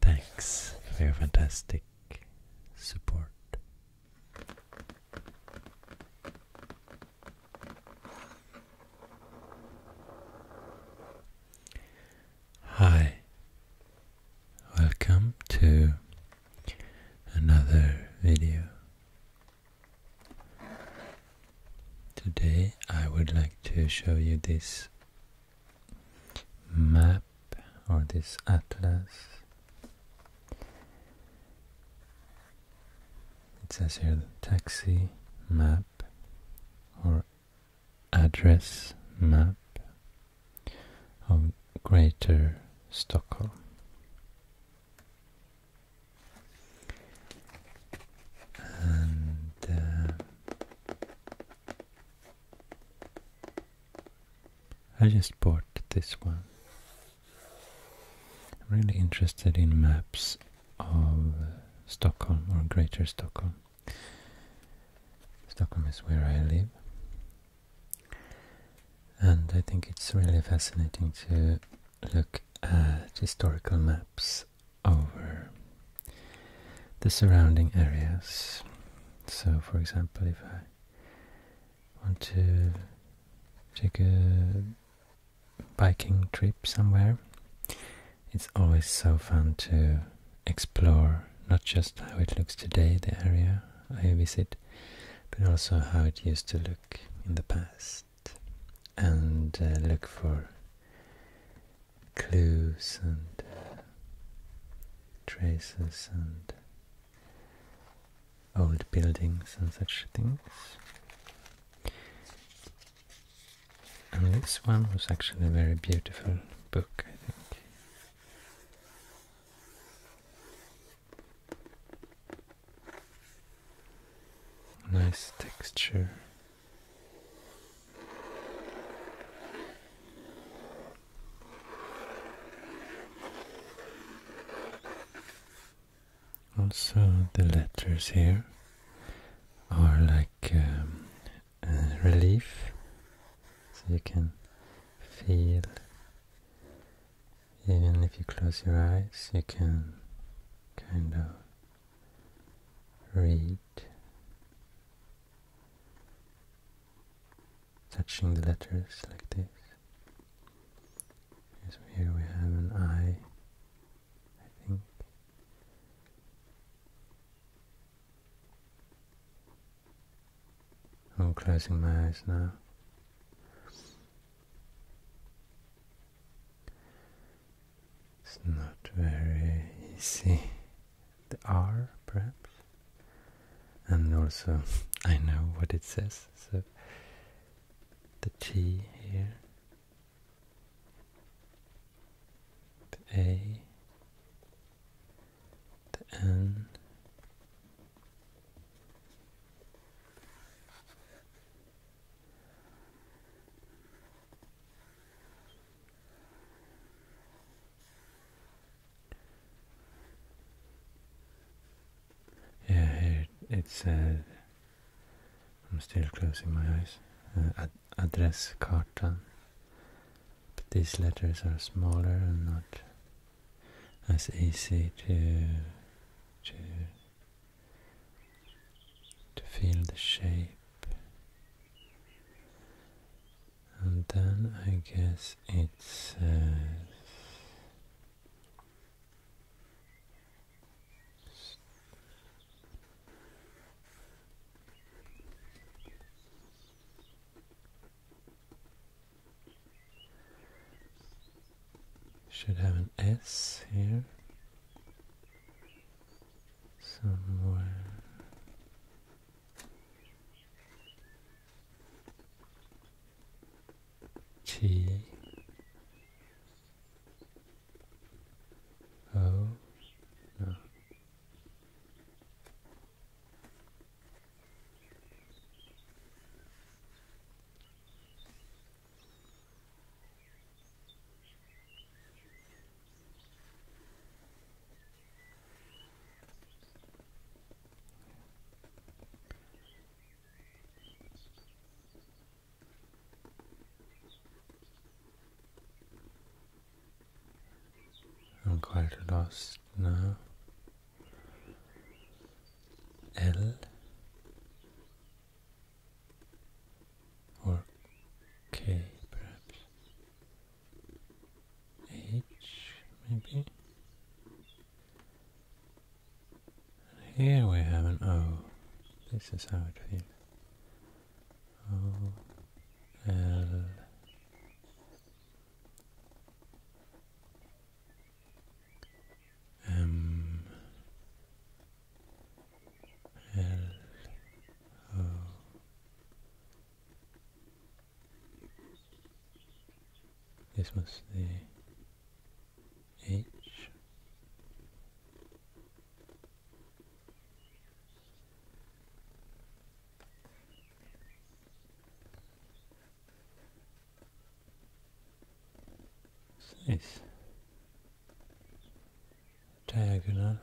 Thanks for your fantastic support. Hi, welcome to another video. Today I would like to show you this map or this atlas. It says here the taxi map or address map of Greater Stockholm and uh, I just bought this one. I'm really interested in maps of Stockholm or Greater Stockholm. Stockholm is where I live. And I think it's really fascinating to look at historical maps over the surrounding areas. So, for example, if I want to take a biking trip somewhere, it's always so fun to explore not just how it looks today, the area I visit, but also how it used to look in the past and uh, look for clues and uh, traces and old buildings and such things. And this one was actually a very beautiful book, I think. Nice texture. Also, the letters here are like um, relief, so you can feel, even if you close your eyes, you can kind of read, touching the letters like this. so here we have an I, I think. I'm closing my eyes now. It's not very easy. The R, perhaps? And also, I know what it says, so the T here, the A, the N. Yeah, here it said. I'm still closing my eyes. Uh, address carta, But these letters are smaller and not as easy to to to feel the shape. And then I guess it says should have an S here somewhere. T O I'm quite lost now. L or K perhaps H maybe here we have an O this is how it feels O L M L O oh. This was the H this diagonal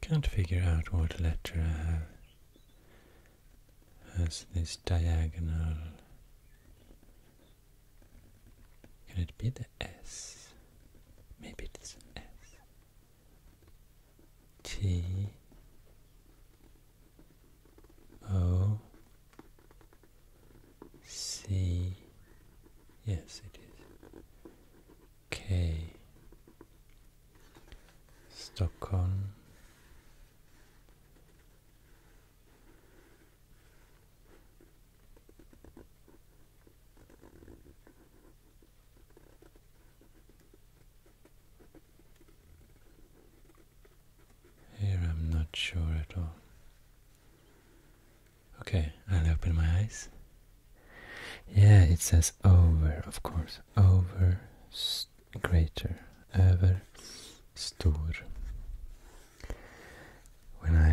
can't figure out what letter I have has this diagonal. Can it be the S? Maybe it is an S. T O C yes it is K Stockholm here I'm not sure at all. Okay, I'll open my eyes. Yeah, it says over, of course. Over, greater. ever, stor. When I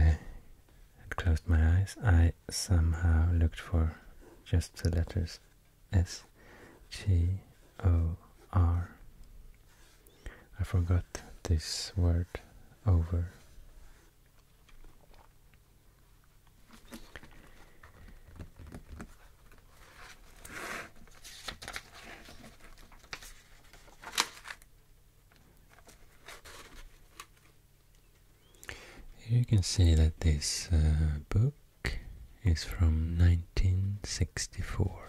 had closed my eyes, I somehow looked for just the letters S G O R. I forgot this word over. Here you can see that this uh, book is from 1964.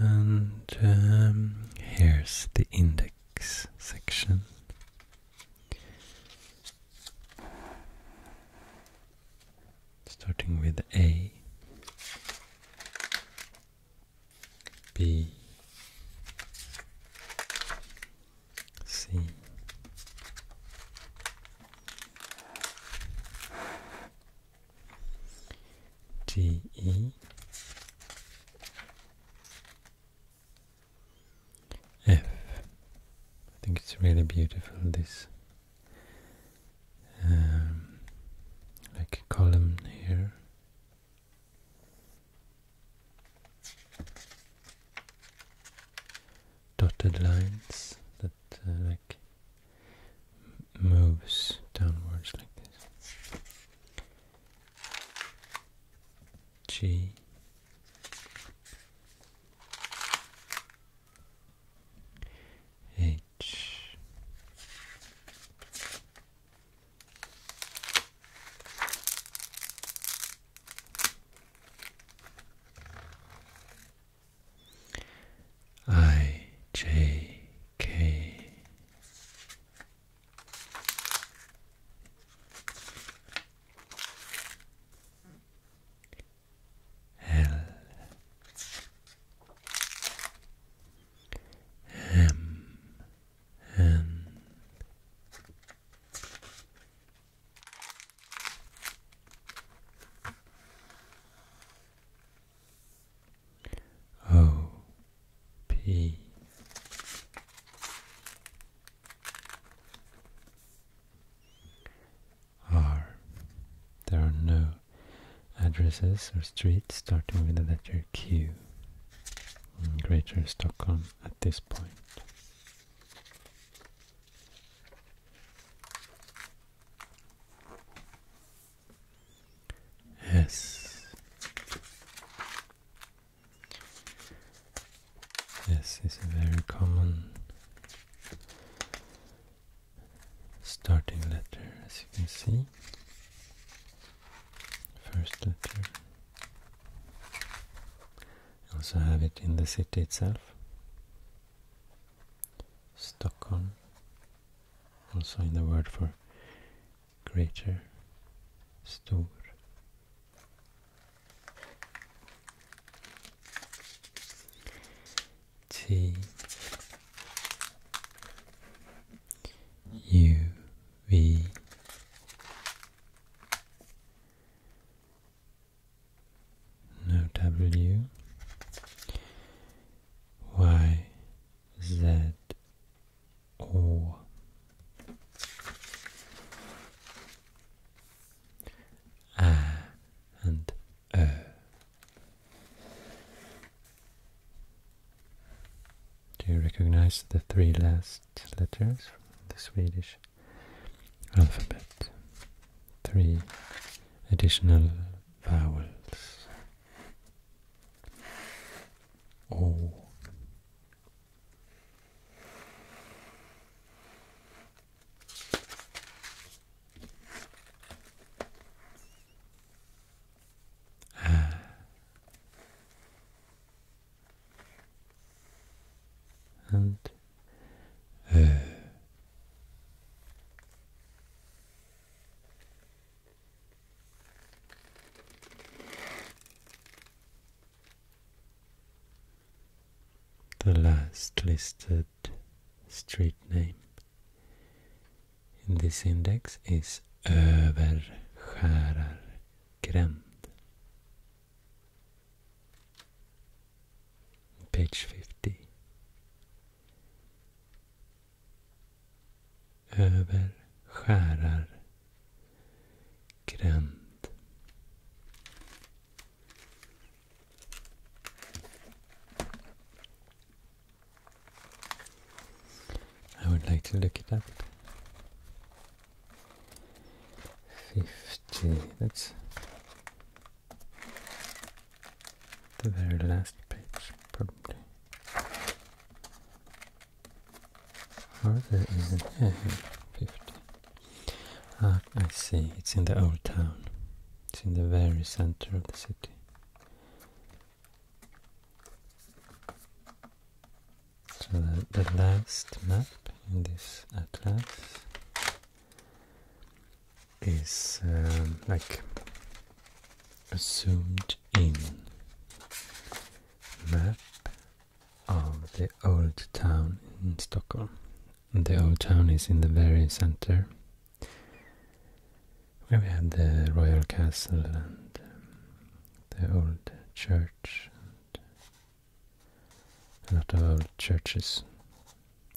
And um, here's the index section starting with A, B, C, D, E, F. I think it's really beautiful this um, like a column here. Dotted lines that uh, like moves downwards like this. G H I J K L M N O P R. There are no addresses or streets starting with the letter Q in Greater Stockholm at this point. S. S is a very common starting letter as you can see. First letter. also have it in the city itself. Stockholm. Also in the word for greater, stor. T U V no W Y Z O A and E. Do you recognize the three last letters from the Swedish alphabet? Three additional vowels. O and uh, The last listed street name in this index is Överskärargränd. Page 50. Överskärargränd. I would like to look it up. 50, that's the very last page, probably. Are there 50? Ah, I see, it's in the old town. It's in the very center of the city. So the, last map in this atlas is um, like a zoomed in map of the old town in Stockholm. the old town is in the very center we have the royal castle and um, the old church and a lot of old churches.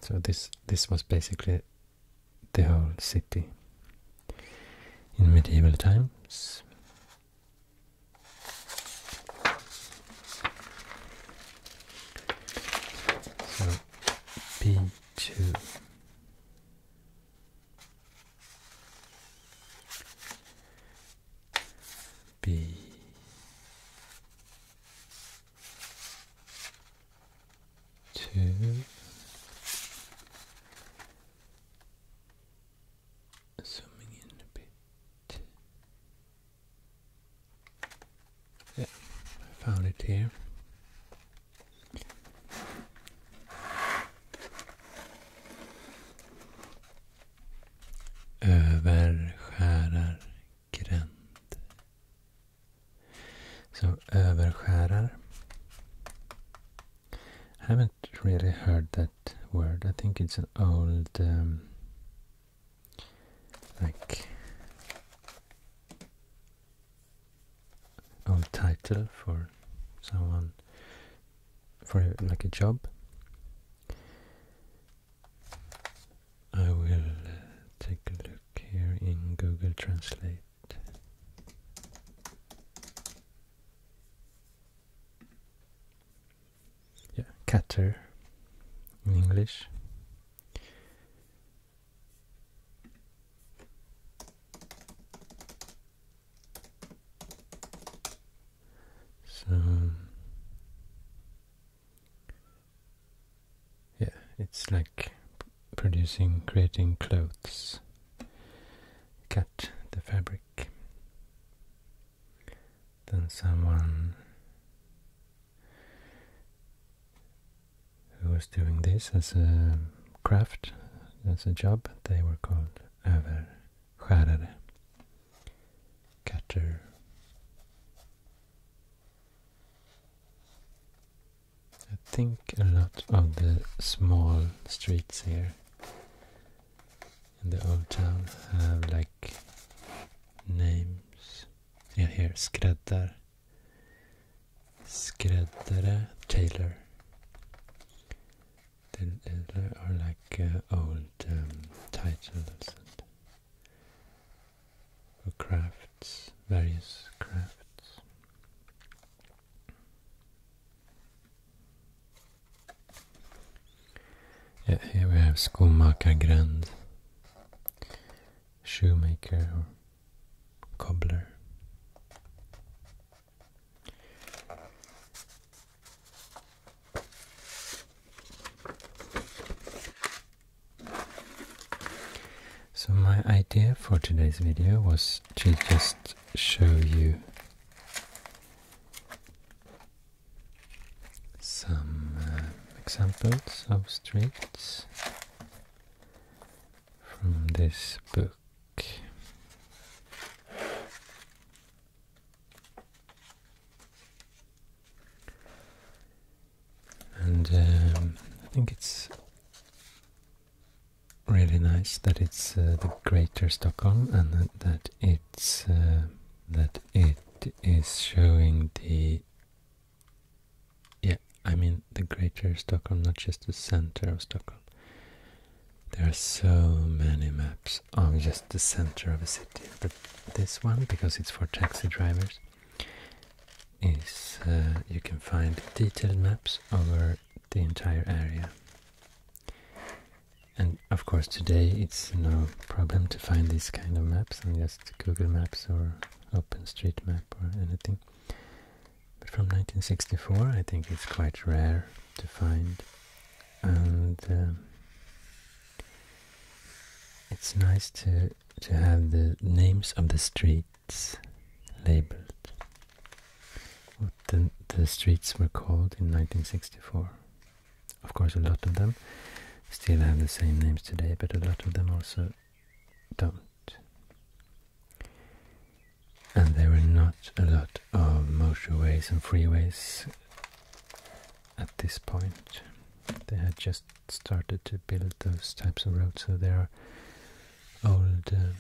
So this this was basically the whole city in medieval times. So P two. B two zooming in a bit I found it here. I haven't really heard that word. I think it's an old, um, like, or title for someone for like a job I will uh, take a look here in Google Translate yeah, cater in English so yeah, it's like producing, creating clothes. Cut the fabric. Then someone who was doing this as a craft, as a job, they were called överskärare, cutter. I think a lot of the small streets here in the old town have like names. Yeah, here, skräddar skräddare, tailor. or like old um, titles for crafts, various crafts. here we have Skomakargränd, shoemaker cobbler. So my idea for today's video was to just show you some uh, examples of streets from this book. And um, I think it's really nice that it's uh, the Greater Stockholm and that, it's uh, that it is showing the yeah, I mean the greater Stockholm, not just the center of Stockholm. There are so many maps of just the center of a city, but this one, because it's for taxi drivers, is uh, you can find detailed maps over the entire area. And of course today it's no problem to find these kind of maps on just Google Maps or OpenStreetMap or anything but from 1964 I think it's quite rare to find and um, it's nice to to have the names of the streets labeled what the, the streets were called in 1964 of course a lot of them still have the same names today but a lot of them also don't and there were not a lot of motorways and freeways at this point. They had just started to build those types of roads, so there are old uh,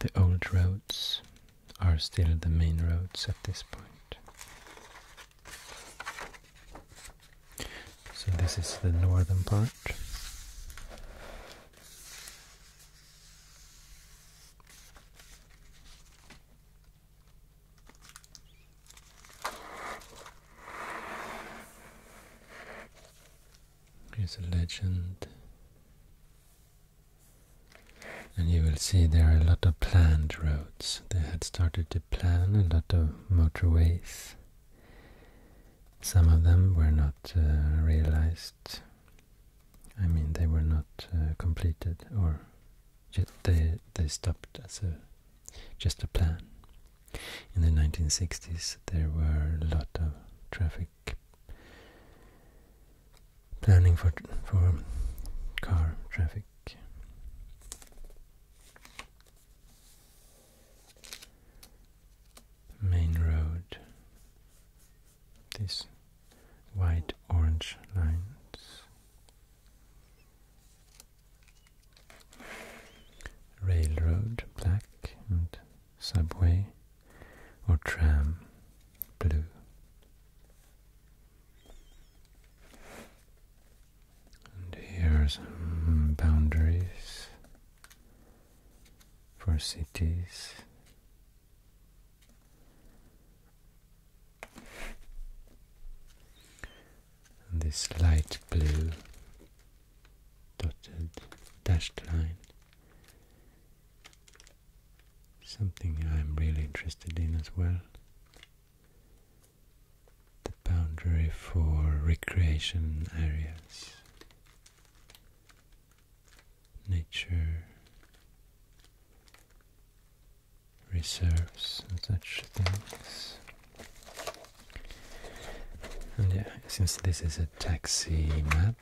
the old roads are still the main roads at this point. So this is the northern part. Here's a legend. And you will see there are a lot of planned roads. They had started to plan a lot of motorways some of them were not uh, realized. I mean, they were not uh, completed, or they they stopped as a just a plan. In the 1960s, there were a lot of traffic planning for for car traffic main road, these white orange lines, railroad black and subway or tram blue. And here are some boundaries for cities. And this light blue dotted dashed line. Something I'm really interested in as well the boundary for recreation areas, nature reserves and such things. And yeah, since this is a taxi map,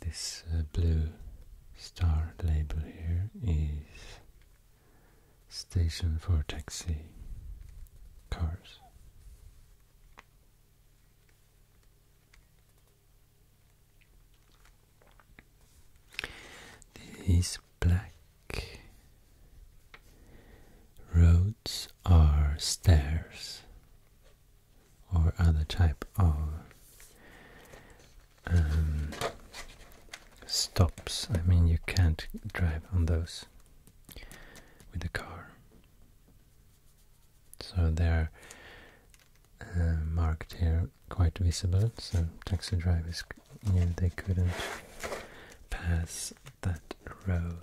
this uh, blue star label here is station for taxi cars. These black roads are stairs or other type of um, stops. I mean, you can't drive on those with the car. So they're uh, marked here quite visible. So taxi drivers, knew they couldn't pass that road.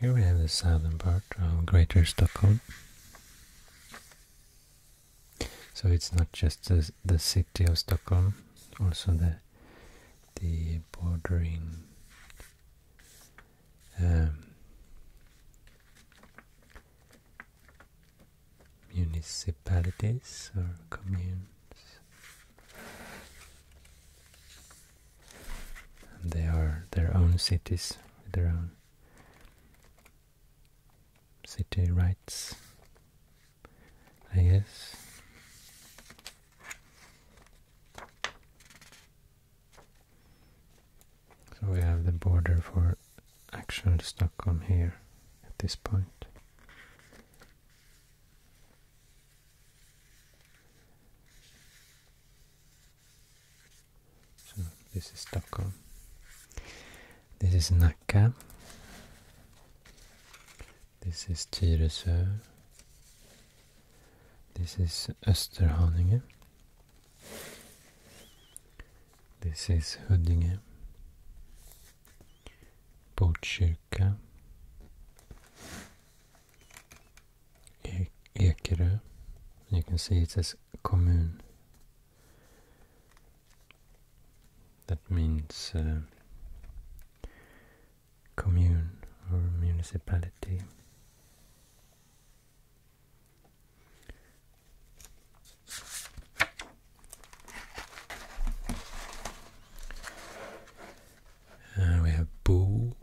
Here we have the southern part of Greater Stockholm. So it's not just the, city of Stockholm, also the the bordering um, municipalities or communes. And they are their own cities with their own city rights, I guess. So we have the border for actual Stockholm here at this point. So this is Stockholm. This is Nacka. This is Tyresö. This is Österhaninge. This is Huddinge. Botkyrka. E Ekerö. You can see it says kommun that means uh, commune or municipality. Uh, we have Bo,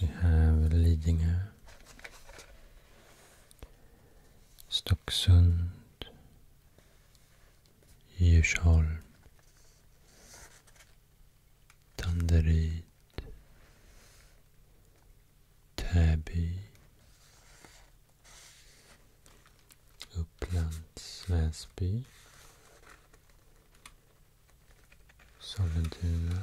we have Lidingö, Stocksund, Djursholm Danderyd Täby Upplands Väsby Sollentuna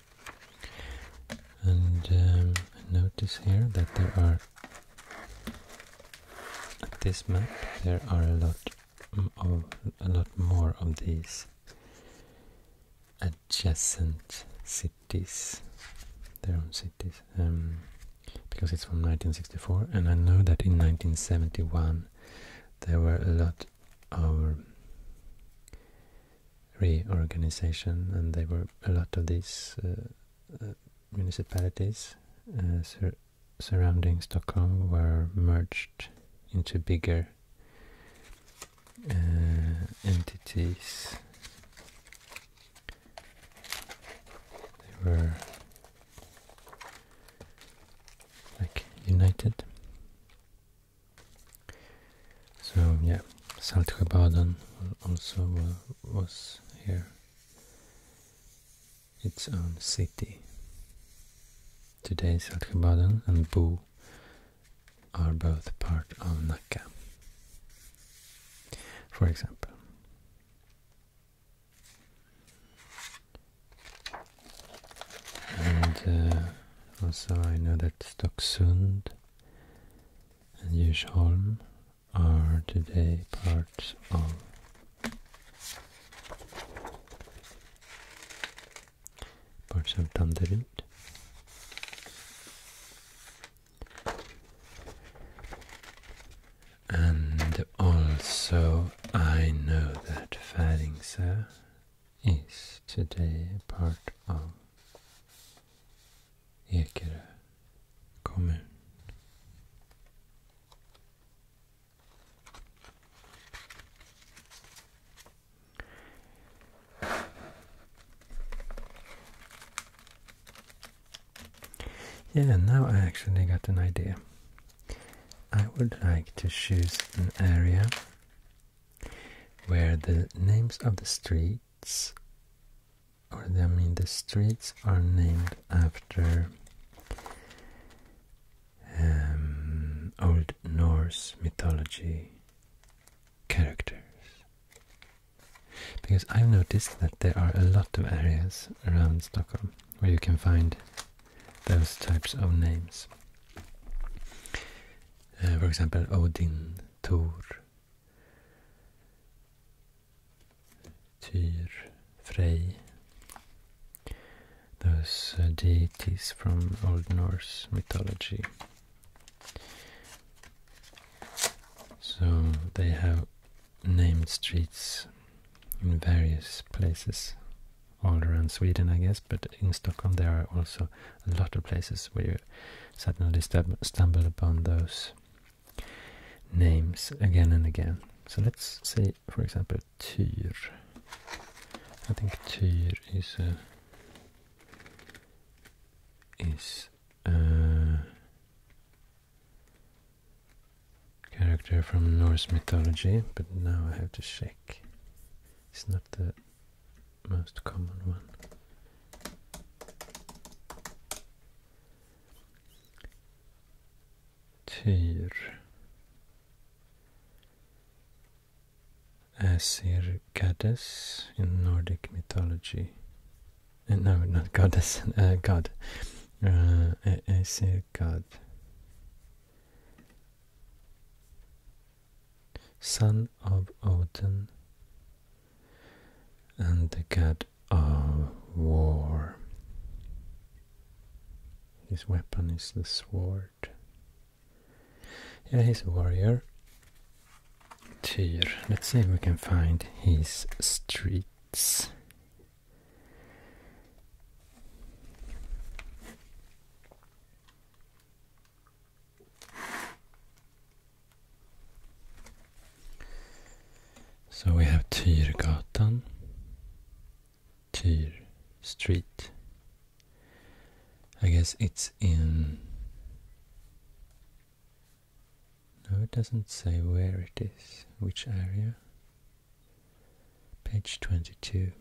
And um, notice here that there are, at this map, there are a lot of, a lot more of these adjacent cities, their own cities, um, because it's from 1964. And I know that in 1971 there were a lot of reorganization, and there were a lot of these uh, uh, municipalities uh, surrounding Stockholm were merged into bigger entities. They were like united. So yeah, Saltsjöbaden also was here its own city. Today Saltsjöbaden and Bu are both part of Nacka. For example. And uh, also I know that Stocksund and Djursholm are today parts of parts of Danderyd. And also I know that Färingsö is today part of yeah, Ekerö kommun. Yeah, now I actually got an idea. I would like to choose an area where the names of the street or I mean the streets are named after um, Old Norse mythology characters. Because I've noticed that there are a lot of areas around Stockholm where you can find those types of names. Uh, for example, Odin, Thor, Tyr, Frey, those uh, deities from Old Norse mythology. So they have named streets in various places all around Sweden, I guess, but in Stockholm there are also a lot of places where you suddenly stumble upon those names again and again. So let's say, for example, Tyr. I think Tyr is a, uh, is a uh, character from Norse mythology, but now I have to check. It's not the most common one. Tyr Asir goddess in Nordic mythology. Uh, eh, no, not goddess, uh, god. Uh, eh, Asir god. Son of Odin, and the god of war. His weapon is the sword. Yeah, he's a warrior. Tyr. Let's see if we can find his streets. So we have Tyrgatan, Tyr Street. I guess it's in. No, it doesn't say where it is, which area. Page 22.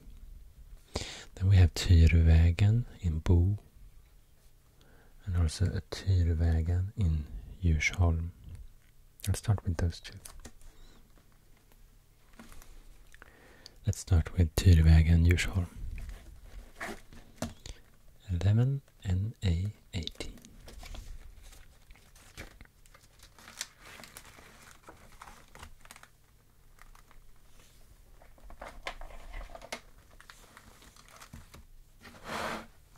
Then we have Tyrvägen in Bo and also Atyrvägen in Djursholm. Let's start with those two. Let's start with Tyrvägen Djursholm. 11 NA A eighty.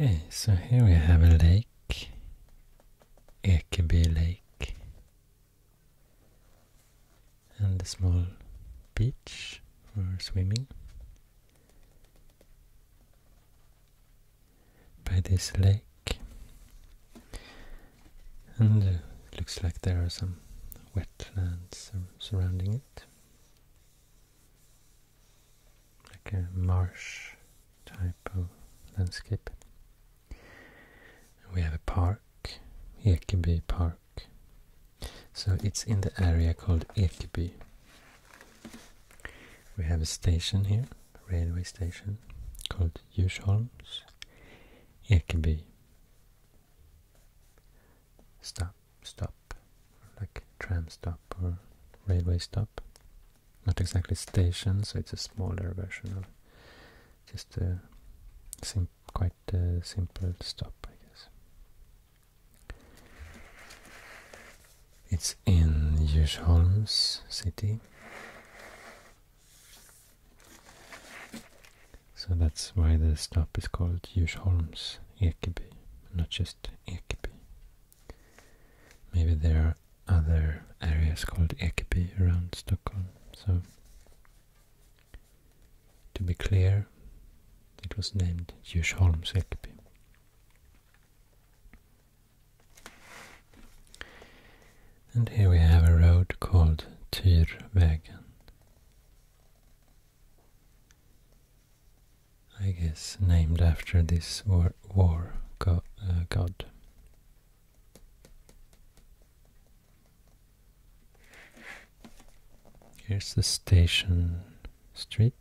Okay, so here we have a lake, It could Ekeby Lake, and a small beach for swimming. By this lake, and it uh, looks like there are some wetlands surrounding it, like a marsh type of landscape we have a park, Ekeby Park. So it's in the area called Ekeby. We have a station here, railway station, called Djursholms, Ekeby. Stop, stop, like tram stop or railway stop. Not exactly station, so it's a smaller version of just seem quite the uh, simple stop, I guess. It's in Djursholms city. So that's why the stop is called Djursholms Ekeby, not just Ekeby. Maybe there are other areas called Ekeby around Stockholm, so to be clear, it was named Djursholms Ekeby. And here we have a road called Tyrvägen. I guess named after this war, uh, god. Here's the station street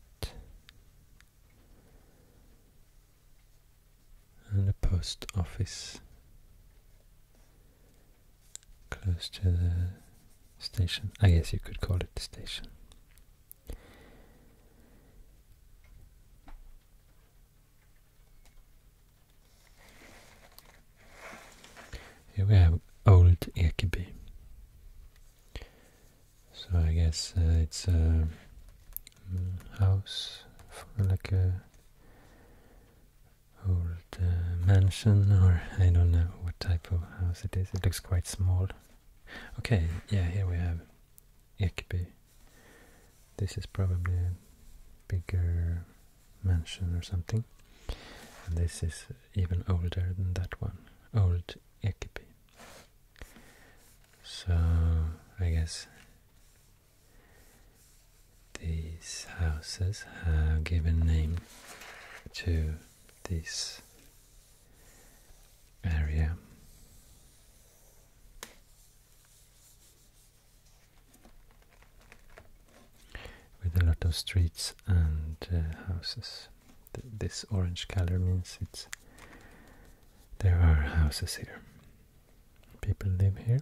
and the post office close to the station. I guess you could call it the station. Here we have Old Ekeby. So I guess uh, it's a mm, house, for like a old uh, mansion, or I don't know what type of house it is. It looks quite small. Okay, yeah, here we have Ekeby. This is probably bigger mansion or something. And this is even older than that one, Old Ekipi. So I guess these houses have given name to this area with a lot of streets and uh, houses. this orange color means it's there are houses here. People live here.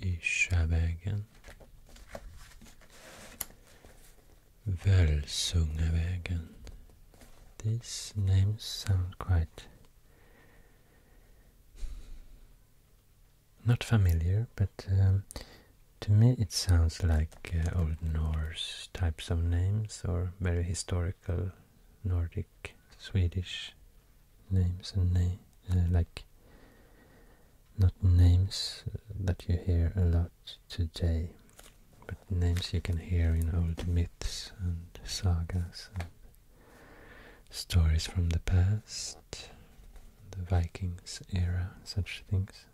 i Skärvägen. These names sound quite not familiar, but um, to me it sounds like uh, Old Norse types of names or very historical Nordic, Swedish names and name uh, like not names uh, that you hear a lot today, but names you can hear in old myths and sagas and stories from the past, the Vikings era, such things.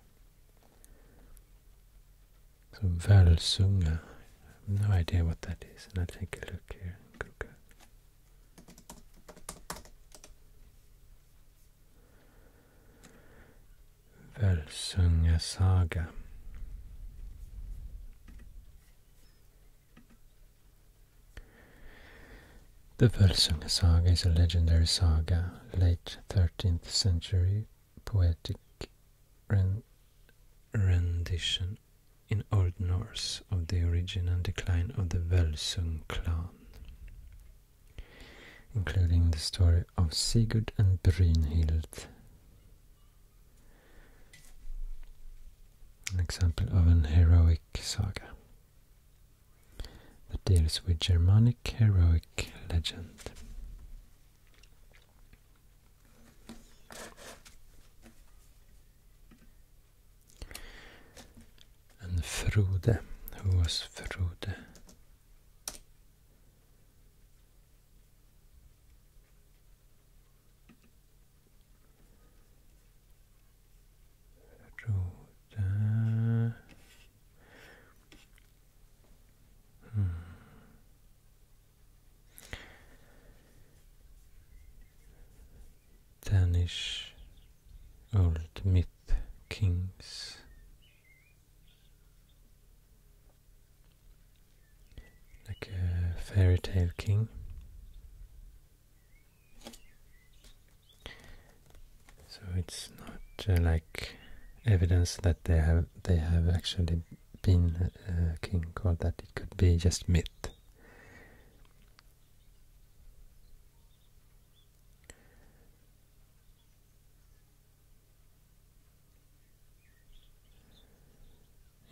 So Valsunga, no idea what that is, and I'll take a look here. Välsungasaga The Völsunga saga is a legendary saga, late 13th century poetic rendition in Old Norse of the origin and decline of the Völsung clan including the story of Sigurd and Brynhild. An example of an heroic saga that deals with Germanic heroic legend. And Frode, who was Frode? Frode. Hmm. Danish old myth kings. Like a fairy tale king. So it's not uh, like evidence that they have they have actually been a uh, king or that it could be just myth.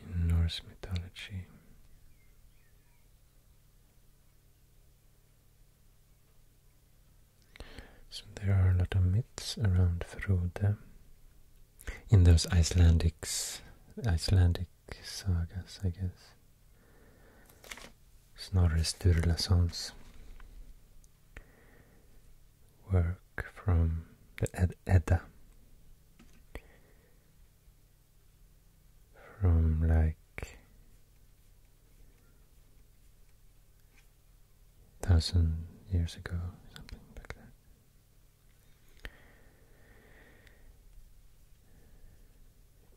In Norse mythology, so there are a lot of myths around through Frode in those Icelandics, Icelandic sagas, I guess. Snorre Sturlason's work from the Edda from like thousand years ago, something like that.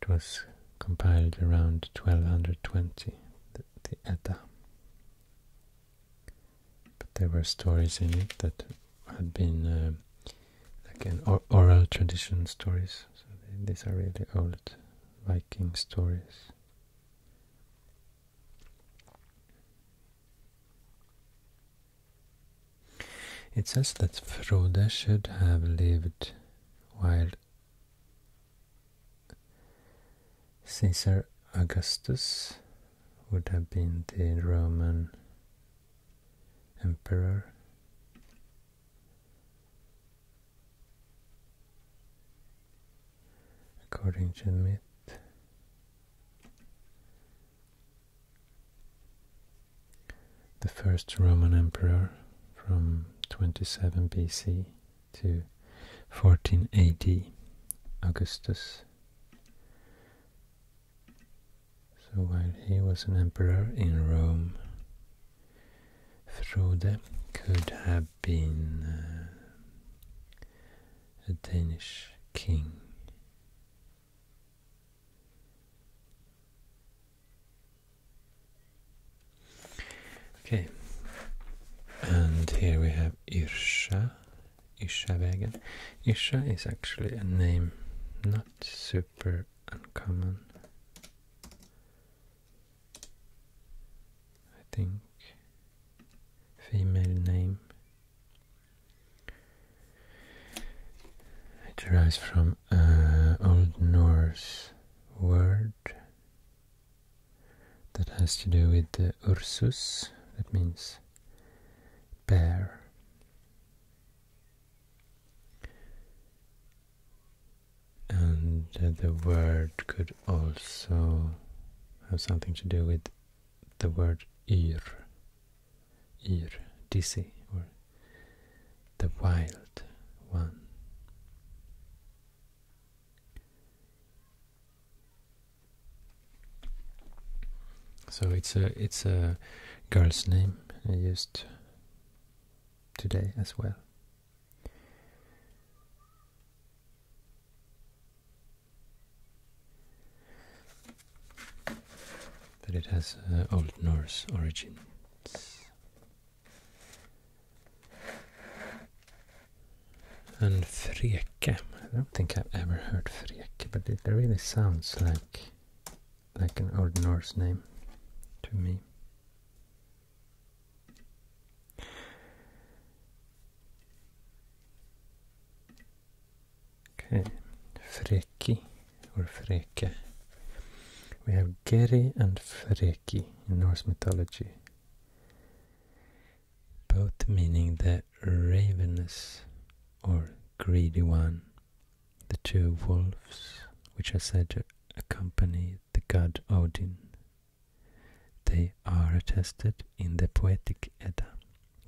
It was compiled around 1220, the, Edda. But there were stories in it that had been uh, oral tradition stories. So these are really old Viking stories. It says that Frode should have lived while Caesar Augustus would have been the Roman emperor. According to myth, the first Roman emperor from 27 BC to 14 AD, Augustus. So while he was an emperor in Rome, Frode could have been uh, a Danish king. Okay, and here we have Isha. Ishavägen. Isha is actually a name not super uncommon. I think female name. It derives from uh, Old Norse word that has to do with the Ursus, that means bear. And uh, the word could also have something to do with the word ir, ir, dizzy, or the Wild One. So it's a it's a girl's name I used today as well. But it has uh, Old Norse origins. And freke. I don't think I've ever heard freke, but it really sounds like like an Old Norse name to me. Okay, freki or freke. We have Geri and Freki in Norse mythology, both meaning the ravenous or greedy one, the two wolves which are said to accompany the god Odin. They are attested in the Poetic Edda,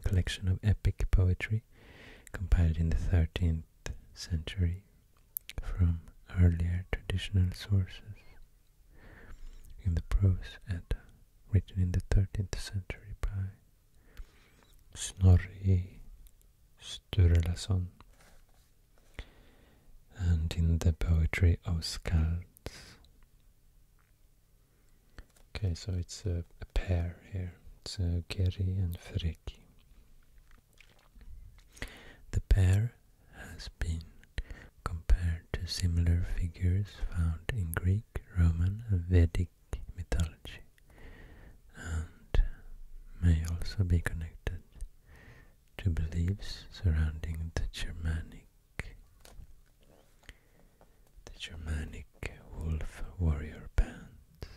collection of epic poetry compiled in the 13th century from earlier traditional sources. In the prose Edda, written in the 13th century by Snorri Sturlason, and in the poetry of Skalds. Okay, so it's a, pair here. It's uh, Geri and Freki. The pair has been compared to similar figures found in Greek, Roman, and Vedic mythology, and may also be connected to beliefs surrounding the Germanic the Germanic wolf warrior bands,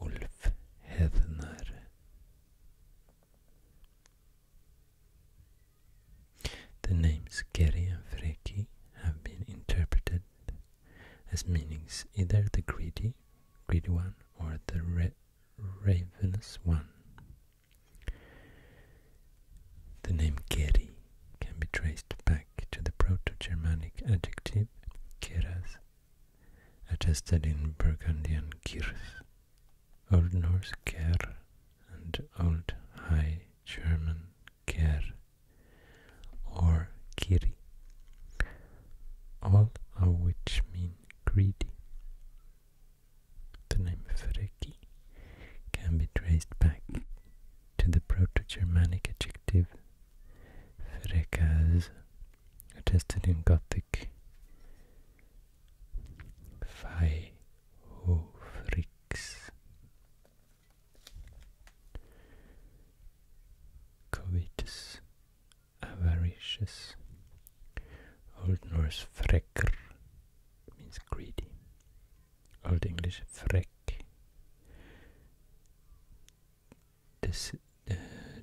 Ulf Hedner. The names Geri and Freki have been interpreted as meanings either the greedy, greedy one, or the ravenous one. The name Geri can be traced back to the Proto-Germanic adjective keras, attested in Burgundian Kirch, Old Norse Ker, and Old High German Ker or Kiri, all of which mean greedy. The name Freki can be traced back to the Proto-Germanic adjective frekaz, attested in Gothic. Faihofrix covetous, avaricious. Old Norse frekkr means greedy. Old English frek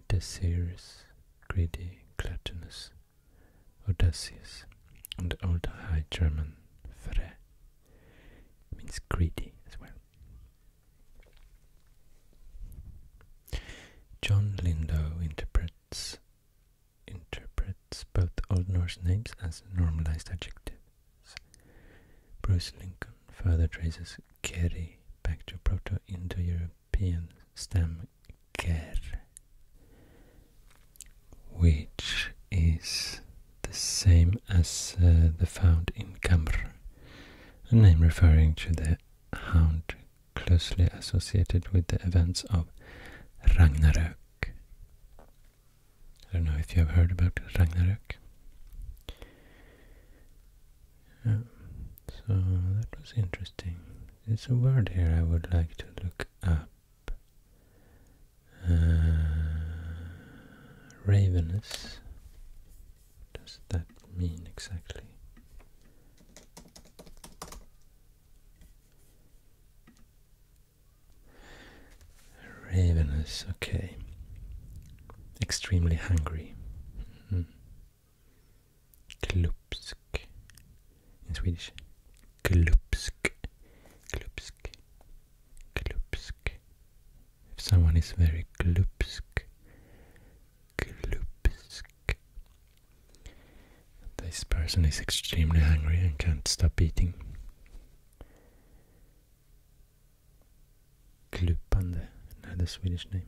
desirous, greedy, gluttonous, audacious, and Old High German "fre" means greedy as well. John Lindow interprets interprets both Old Norse names as normalized adjectives. Bruce Lincoln further traces Keri back to proto indo Europe. European stem which is the same as uh, the found in Cambre, a name referring to the hound closely associated with the events of Ragnarök. I don't know if you have heard about Ragnarök so that was interesting. There's a word here I would like to look up. Uh, ravenous. What does that mean exactly? Ravenous, okay. Extremely hungry. Hmm. Klupsk in Swedish. Klupsk. Klupsk. Klupsk. If someone is very klupsk, klupsk. This person is extremely hungry and can't stop eating. Klupande, another Swedish name.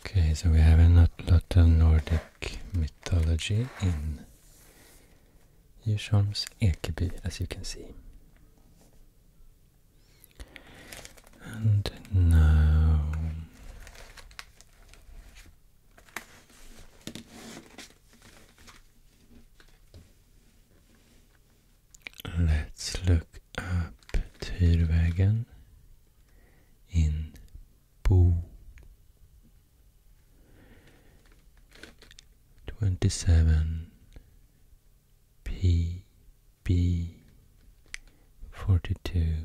Okay, so we have a lot of Nordic mythology in Djursholms Ekeby, as you can see. And now... Let's look up Tyrvägen in Bo. 27 P 42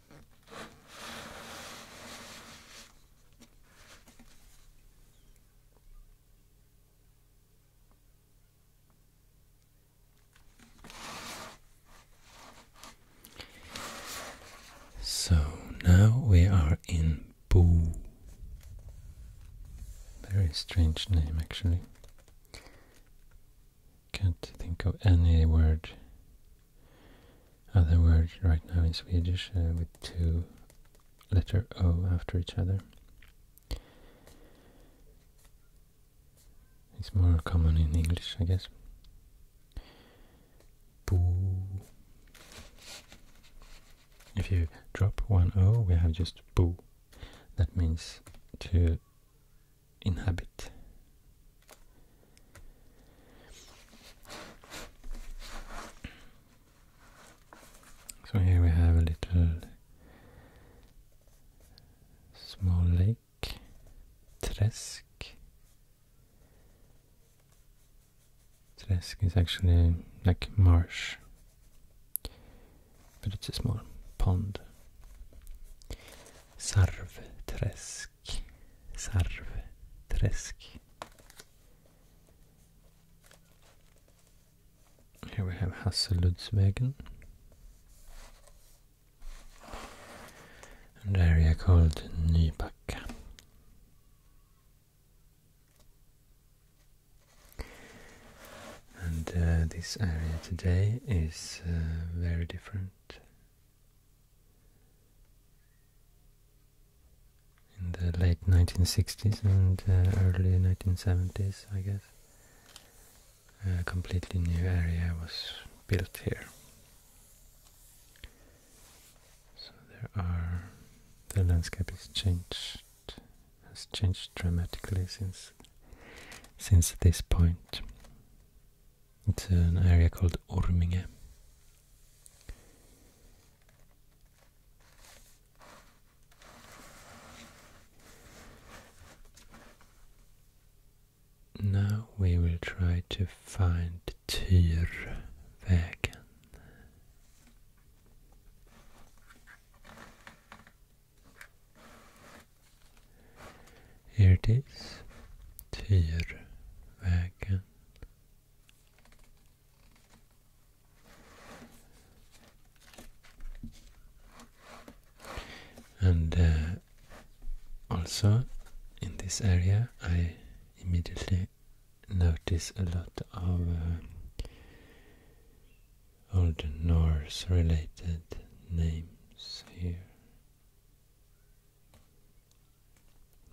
So now we are in Boo. Very strange name, actually. Can't think of any word, other word right now in Swedish uh, with two letter O after each other. It's more common in English, I guess. Boo. If you drop one O, we have just boo. That means to inhabit. So here we have a little small lake, Tresk. Tresk is actually like marsh, but it's a small pond. tresk. Träsk. Here we have Hasseluddsvägen. An area called Nybacka. And uh, this area today is uh, very different in the late 1960s and uh, early 1970s, I guess. A completely new area was built here. So there are the landscape has changed has changed dramatically since since this point. It's an area called Orminge. Now we will try to find Tyrvägen. Here it is, Tyrvägen. And uh, also in this area I immediately notice a lot of uh, Old Norse related names here.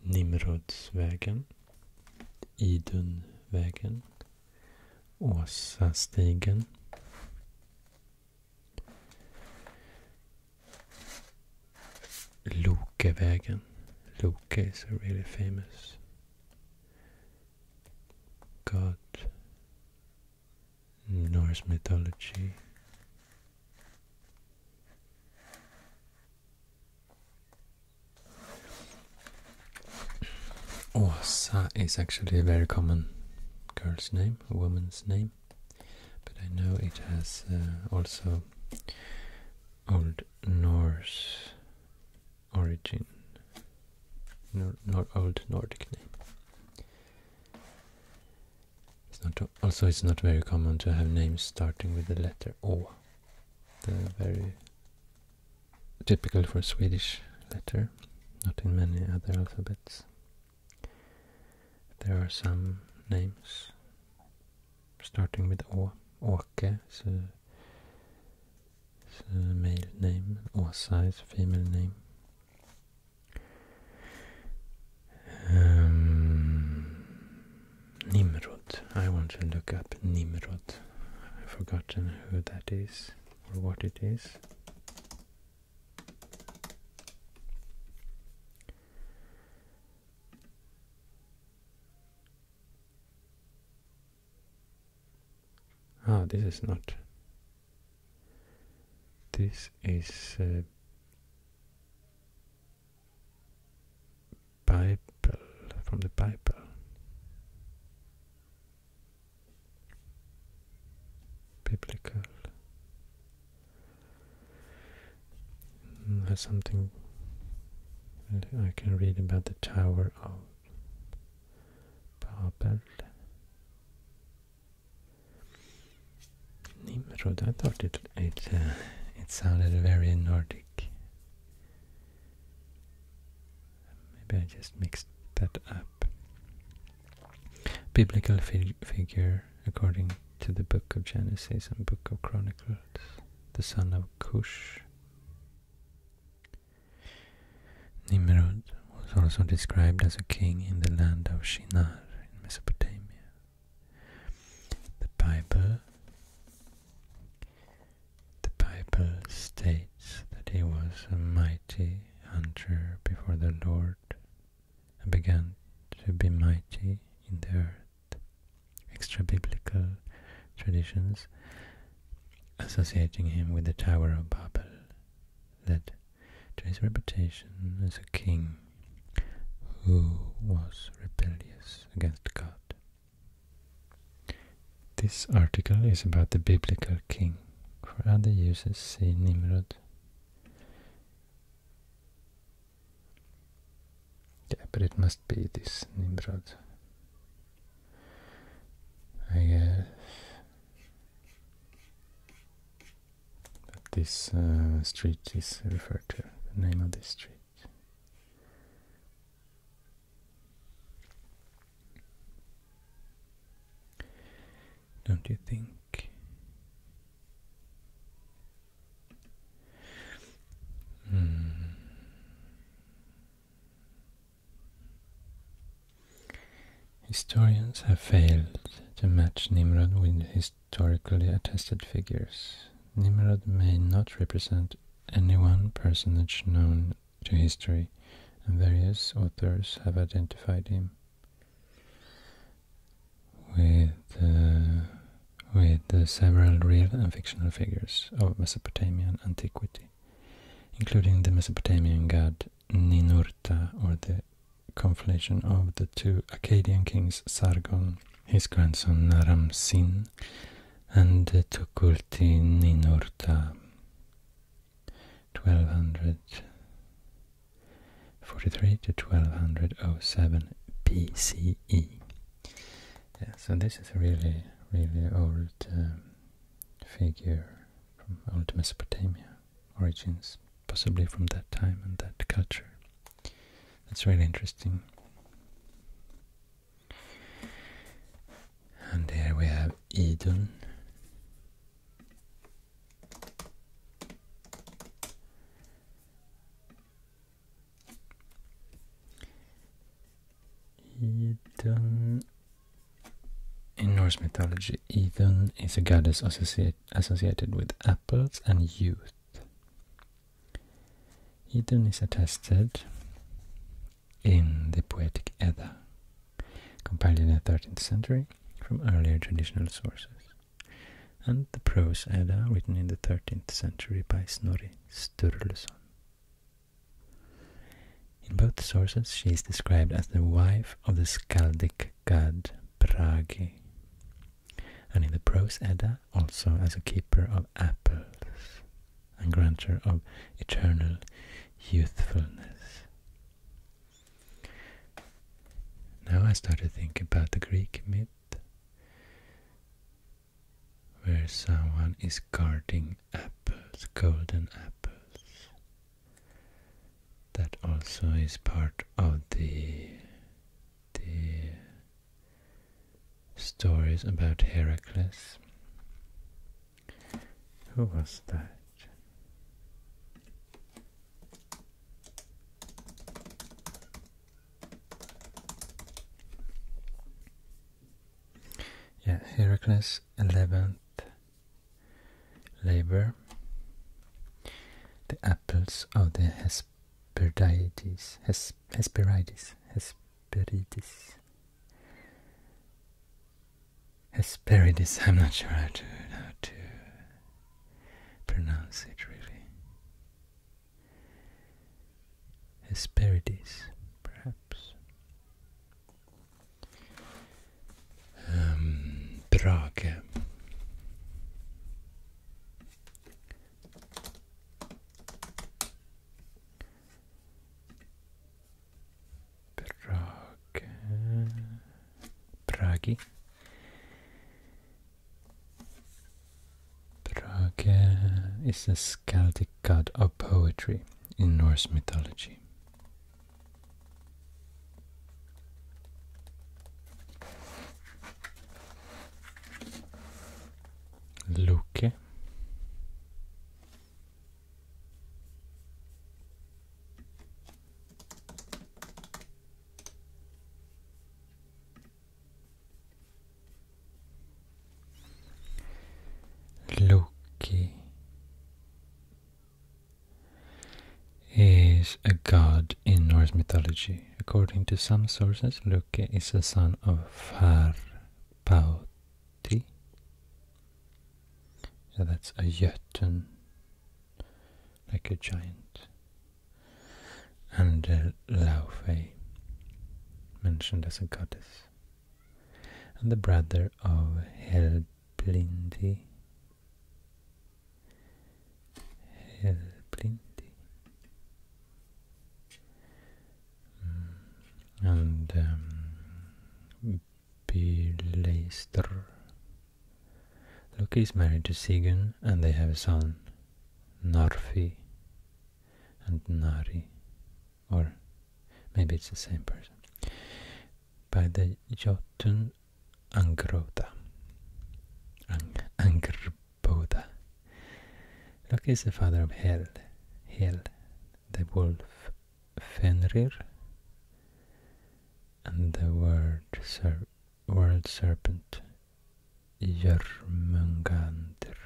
Nimrod's Nimrodsvägen, Idunvägen, Åsastigen. Lokevägen. Loke is a really famous god in Norse mythology. Åsa oh, is actually a very common girl's name, a woman's name, but I know it has uh, also Old Norse origin, nor Old Nordic name also it's not very common to have names starting with the letter O. The very typical for Swedish letter, not in many other alphabets. There are some names starting with O: Åke is a, male name, Åsa is female name. Ehm, Nimrod. I want to look up Nimrod. I've forgotten who that is or what it is. Ah, this is not. This is uh, Bible, from the Bible. Biblical. Has something I can read about the Tower of Babel. Nimrod. I thought it uh, it sounded very Nordic. Maybe I just mixed that up. Biblical figure according to the Book of Genesis and Book of Chronicles, the son of Cush. Nimrod was also described as a king in the land of Shinar in Mesopotamia. The Bible The Bible states that he was a mighty hunter before the Lord and began to be mighty in the earth. Extra biblical traditions associating him with the Tower of Babel led to his reputation as a king who was rebellious against God. This article is about the biblical king. For other uses, see Nimrod. but it must be this Nimrod. I guess this uh, street is referred to, the name of this street. Don't you think? Hmm. Historians have failed to match Nimrod with his historically attested figures. Nimrod may not represent any one personage known to history, and various authors have identified him with uh, with uh, several real and fictional figures of Mesopotamian antiquity, including the Mesopotamian god Ninurta or the conflation of the two Akkadian kings Sargon his grandson Naram Sin, and Tukulti Ninurta, 1243 to 1207 BCE. Yeah, so this is a really, really old um, figure from old Mesopotamia origins, possibly from that time and that culture. That's really interesting. And here we have Idun. Idun. In Norse mythology, Idun is a goddess associated with apples and youth. Idun is attested in the Poetic Edda, compiled in the 13th century from earlier traditional sources, and the Prose Edda, written in the 13th century by Snorri Sturluson. In both sources, she is described as the wife of the skaldic god Bragi, and in the prose Edda also as a keeper of apples and granter of eternal youthfulness. Now I start to think about the Greek myth where someone is guarding apples, golden apples. That also is part of the the stories about Heracles. Who was that? Yeah, Heracles, 11th labor. The apples of the Hesperides. Hesperides, Hes, Hesperides, Hesperides, Hesperides. I'm not sure how to pronounce it really. Hesperides, perhaps. Um, Prague, Praghi, Prague is a Skaldic god of poetry in Norse mythology. Luque Loki is a god in Norse mythology. According to some sources, Loke is the son of Farpauti. So that's a Jotun, like a giant. And Laufey, mentioned as a goddess. And the brother of Helblindi Helplinti. Mm, and um, Loki is married to Sigyn and they have a son, Narfi and Nari. Or maybe it's the same person. By the Jotun Angrota. Ang Bodha. Loki is the father of Hel, Hel, the wolf Fenrir, and the world, world serpent Jörmungandr.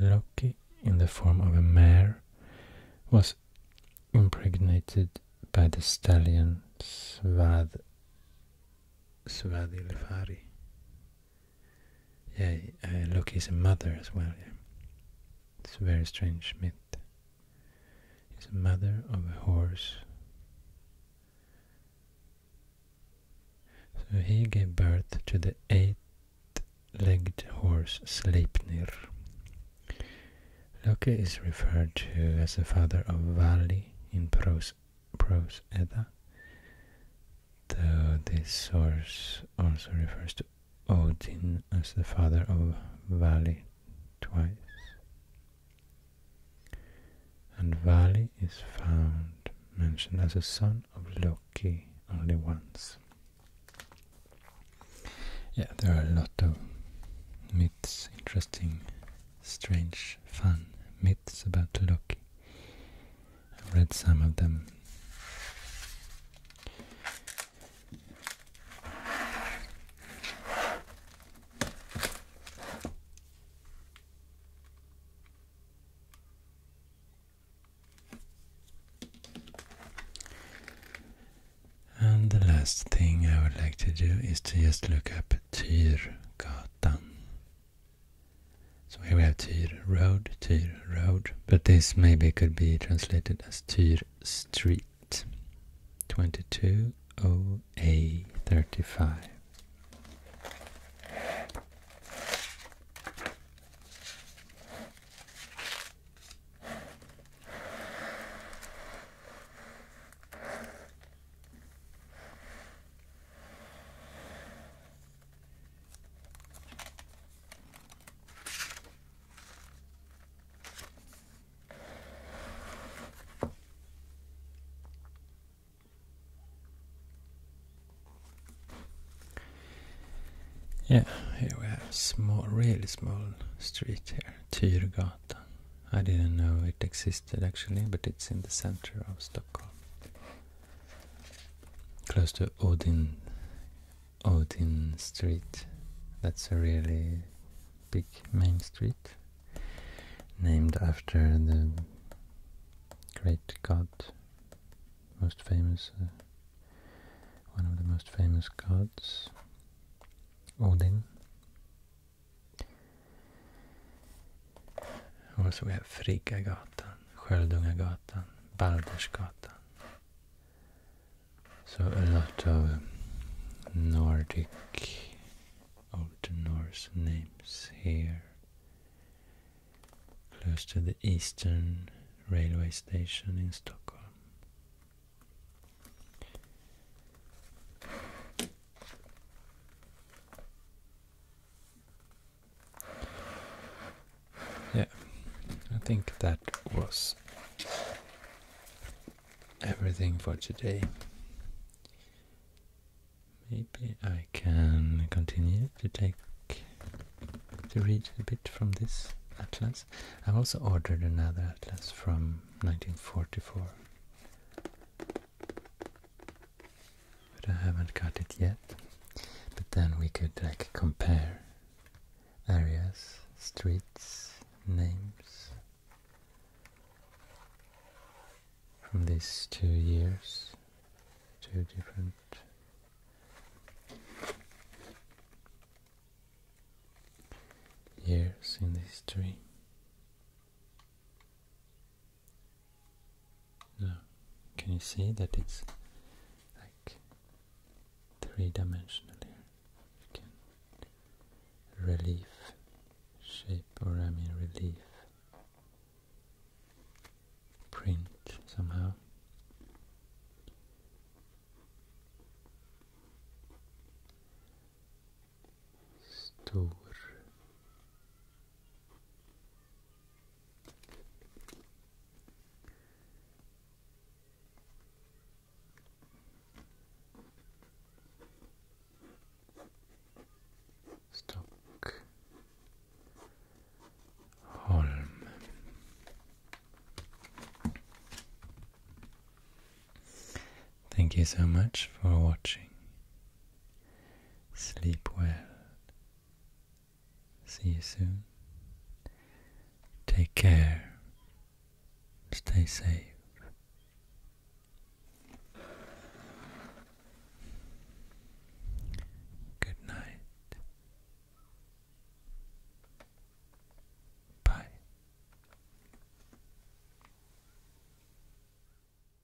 Loki, in the form of a mare, was impregnated by the stallion Svad Swadi Yeah, uh, Loki's a mother as well. Yeah. It's a very strange myth. He's a mother of a horse. So he gave birth to the eight-legged horse Sleipnir. Loki is referred to as the father of Vali in Prose, Edda, though this source also refers to Odin as the father of Vali twice. And Vali is found mentioned as a son of Loki only once. Yeah, there are a lot of myths, interesting strange, fun myths about Loki. I've read some of them. And the last thing I would like to do is to just look up Tyrgatan. So here we have Tyr Road, Tyr Road, but this maybe could be translated as Tyr Street, 22OA35. Yeah, here we have small, really small street here. Tyrgatan. I didn't know it existed actually, but it's in the center of Stockholm. Close to Odin, Odin Street. That's a really big main street. Named after the great god, most famous, uh, one of the most famous gods, Odin. Also we have Friggagatan, Sköldungagatan, Baldersgatan. So a lot of Nordic Old Norse names here. Close to the Eastern Railway Station in Stockholm. Yeah, I think that was everything for today. Maybe I can continue to take to read a bit from this atlas. I've also ordered another atlas from 1944 but I haven't got it yet. But then we could like compare areas, streets, names from these two years, two different years in the history. Now, can you see that it's like three-dimensional here? You can relief shape, or I mean relief print somehow stor Stockholm Thank you so much for watching. Sleep well. See you soon. Take care. Stay safe. Good night. Bye.